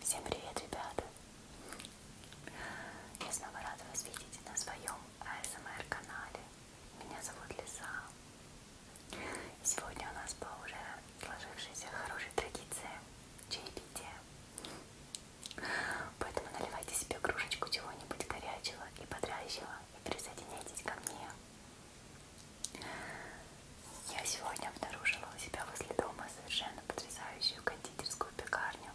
Всем привет, ребята! Я снова рада вас видеть на своем АСМР канале. Меня зовут Лиса. И сегодня у нас по уже сложившейся хорошей традиции чаепития. Поэтому наливайте себе кружечку чего-нибудь горячего и бодрящего и присоединяйтесь ко мне. Я сегодня обнаружила у себя возле дома совершенно потрясающую кондитерскую пекарню.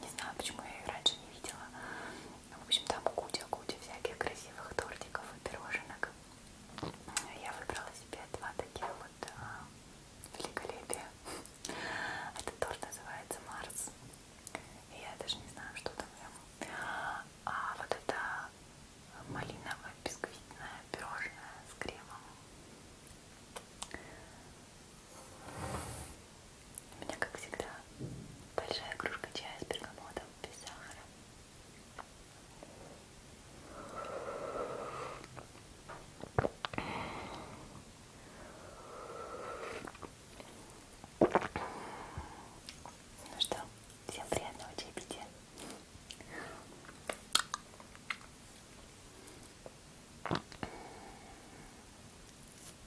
Не знаю, почему я ее раньше не видела. В общем, там куча-куча всяких красивых тортиков и пироженок. Я выбрала себе два таких вот а, великолепия. Этот торт называется Марс. И я даже не знаю, что там в А вот это малиновое бисквитное пирожное с кремом. У меня, как всегда, большая кружка чая с бергамотом, без сахара. Ну что, всем приятного чаепития.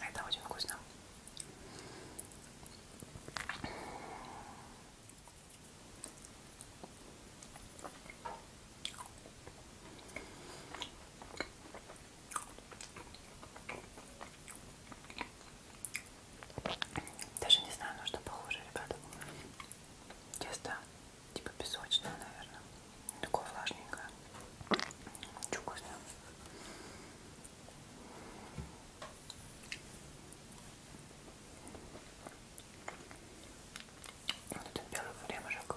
Это очень вкусно. Даже не знаю, на что похоже, ребята. Тесто типа песочное, наверное. Такое влажненькое. Очень вкусно. Вот это белый времешек.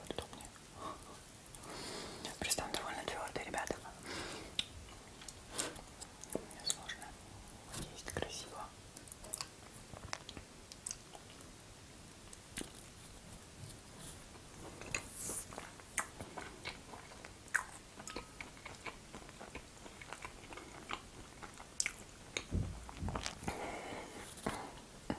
будет удобнее. Просто он довольно твердый, ребята. Мне сложно. Есть красиво.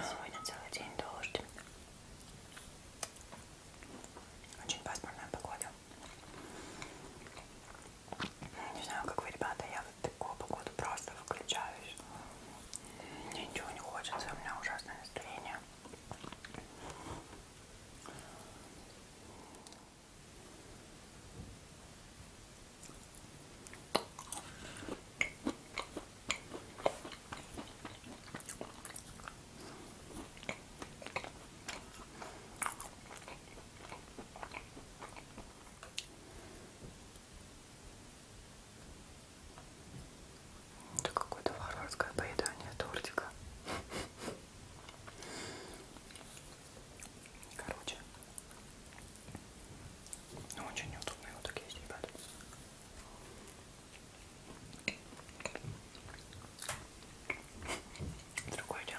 Сегодня целый день дождь. Очень пасмурная погода. Ну, не знаю, как вы, ребята, я в такую погоду просто выключаюсь. Мне ничего не хочется, у меня ужасное настроение. Это какое-то варварское поедание тортика. Короче. Ну, очень неудобно его так есть, ребят. Другое дело.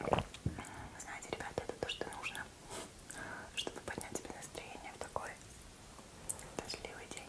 Вы знаете, ребята, это то, что нужно, чтобы поднять себе настроение в такой дождливый день.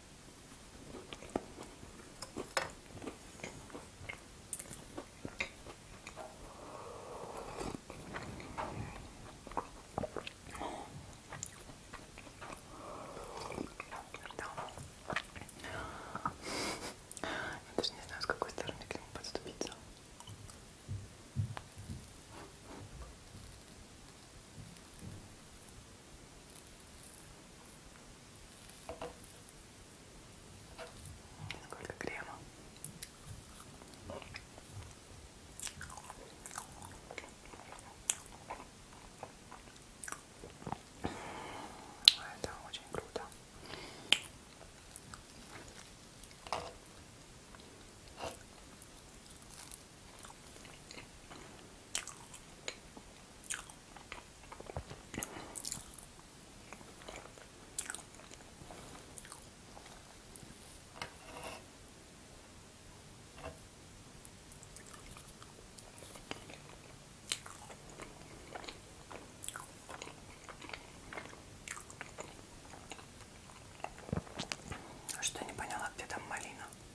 Да. Я даже не знаю, с какой стороны к нему подступиться. Сколько крема. Это очень круто. Что не поняла, где там малина?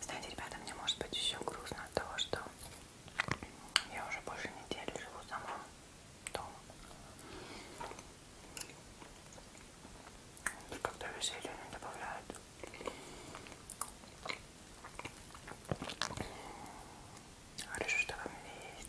Знаете, ребята, мне может быть еще грустно от того, что я уже больше недели живу сама дома. И как-то веселье не добавляет. Хорошо, что вы у меня есть.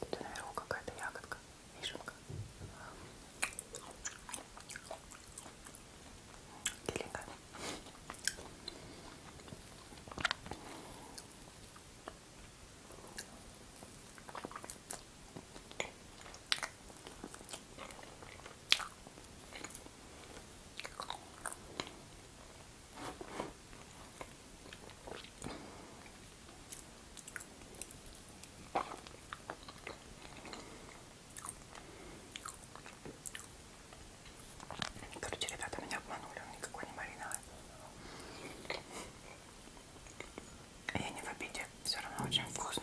Это наверху какая-то ягодка, вишенка. Геленькая. Короче, ребята меня обманули, он никакой не мариновый. А я не в обиде, все равно очень вкусно.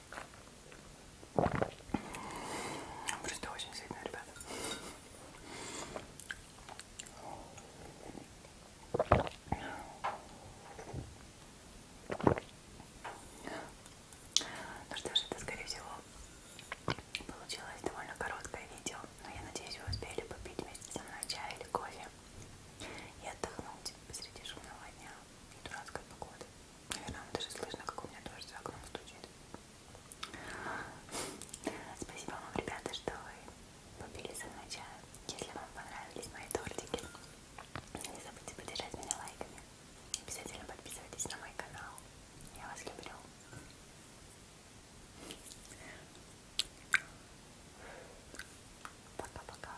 Просто очень сильно, ребята. Ну что ж, это, скорее всего, получилось довольно короткое видео, но я надеюсь, вы успели попить вместе со мной чай или кофе и отдохнуть посреди шумного дня и дурацкой погоды. Наверное, даже слышно, как у меня дождь за окном стучит. Спасибо вам, ребята, что вы попили со мной чай. Если вам понравились мои тортики, не забудьте поддержать меня лайками. Обязательно подписывайтесь на мой канал. Я вас люблю. Пока-пока.